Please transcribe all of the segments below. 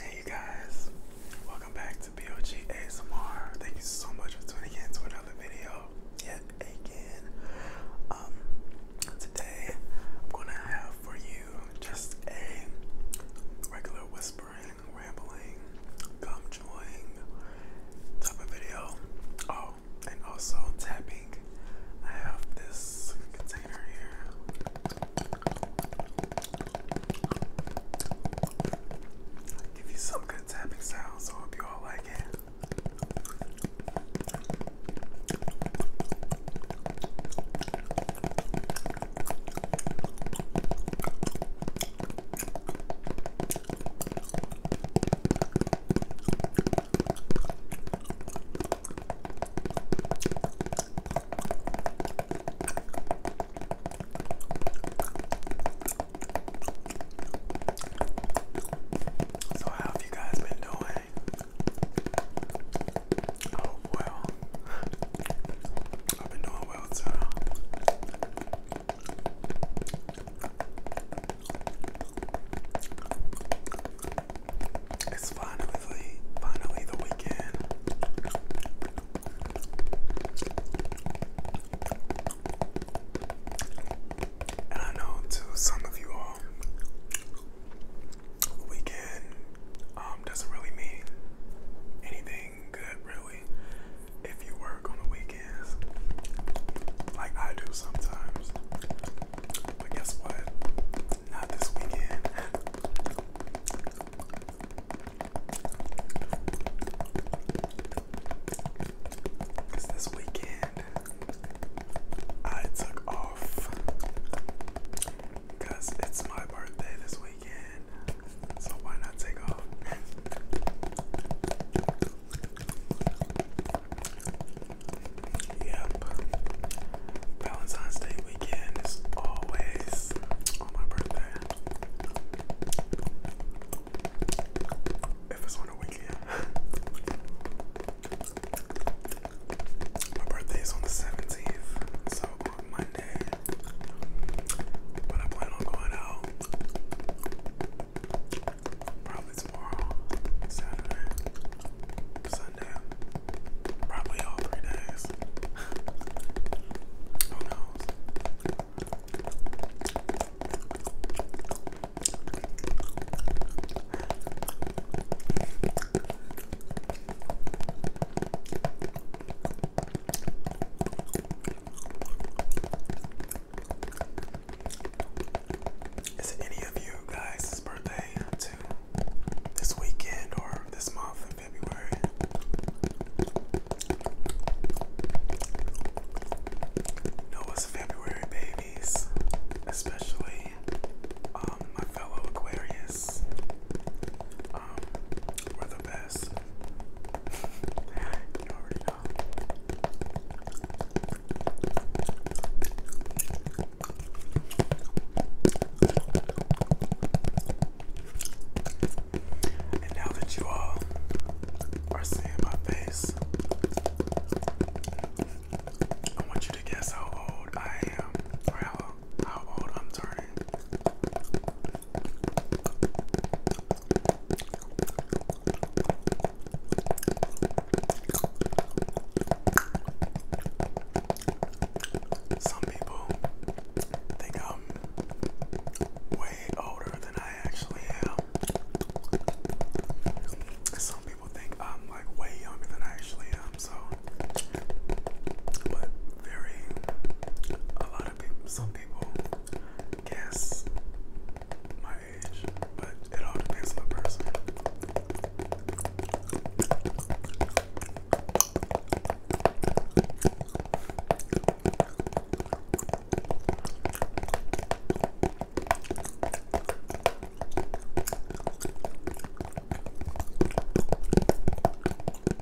Hey you guys, welcome back to BOG Thank you so much for tuning in to another video yet again. Um, today I'm gonna have for you just a regular whispering, rambling, gum chewing type of video. Oh, and also tapping I have this container here. I'll give you some good tapping sounds, so I hope you all like it. So, how have you guys been doing? Oh, well, I've been doing well too. It's finally, finally the weekend. And I know to some of you all, weekend um, doesn't really mean anything good, really, if you work on the weekends, like I do sometimes. But guess what? Not this weekend. this weekend I took off. it's my birthday this weekend. So why not take off? Yep. Valentine's Day weekend is always on my birthday. If it's on a weekend. my birthday is on the 17th, so on Monday. But I plan on going out tomorrow, Saturday, Sunday, probably all three days. Who knows? Is any of you guys' birthday to this weekend or this month in February? No, it's February babies, especially um, my fellow Aquarius. Um, And now that you all are seeing my face, I want you to guess how old I am or how, how old I'm turning. Some people think I'm way older than I actually am. Some people think I'm like way younger than I actually am, so but very a lot some people guess my age, but it all depends on the person.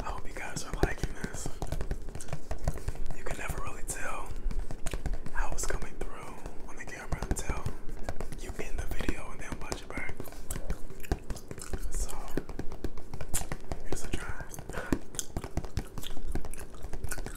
I hope you guys are liking this. You can never really tell how it's coming through on the camera until you end the video and then watch it back. So, here's a try.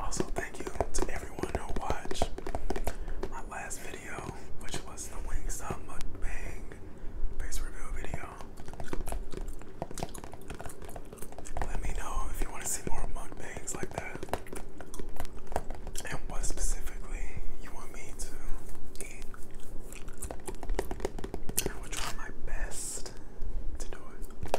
Also, thank you to everyone who watched my last video, which was the Wingstop Mukbang face reveal video. Let me know if you want to see more mukbangs like that. And what specifically you want me to eat. I will try my best to do it.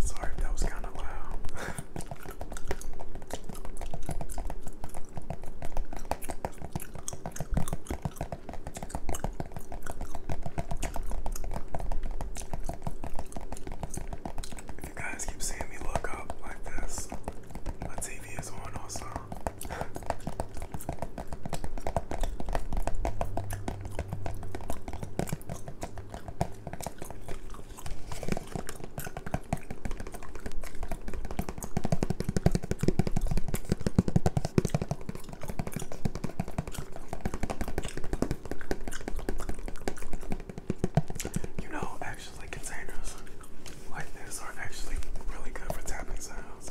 Sorry if that was kind of loud. If you guys keep seeing me look up like this, my TV is on also. You know, actually, containers like this are actually really good for tapping sounds.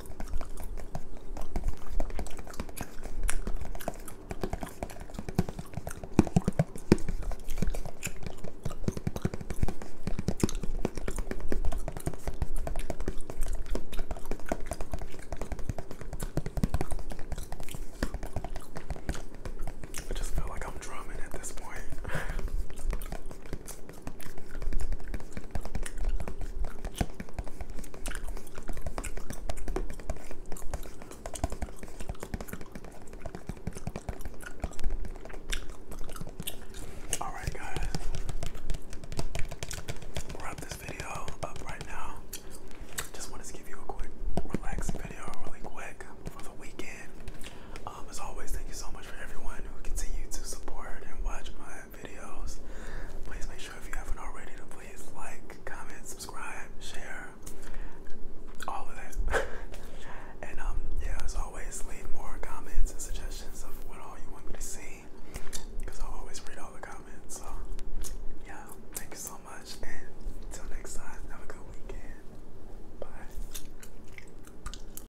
I just feel like I'm drumming at this point. All right, guys, wrap this video up right now. Just wanted to give you a quick, relaxing video, really quick for the weekend. Um, as always, thank you so much for everyone who continues to support and watch my videos. Please make sure if you haven't already to please like, comment, subscribe, share, all of that. and um, yeah, as always, leave more comments and suggestions of what all you want me to see, because I always read all the comments. So yeah, thank you so much, and until next time, have a good weekend. Bye.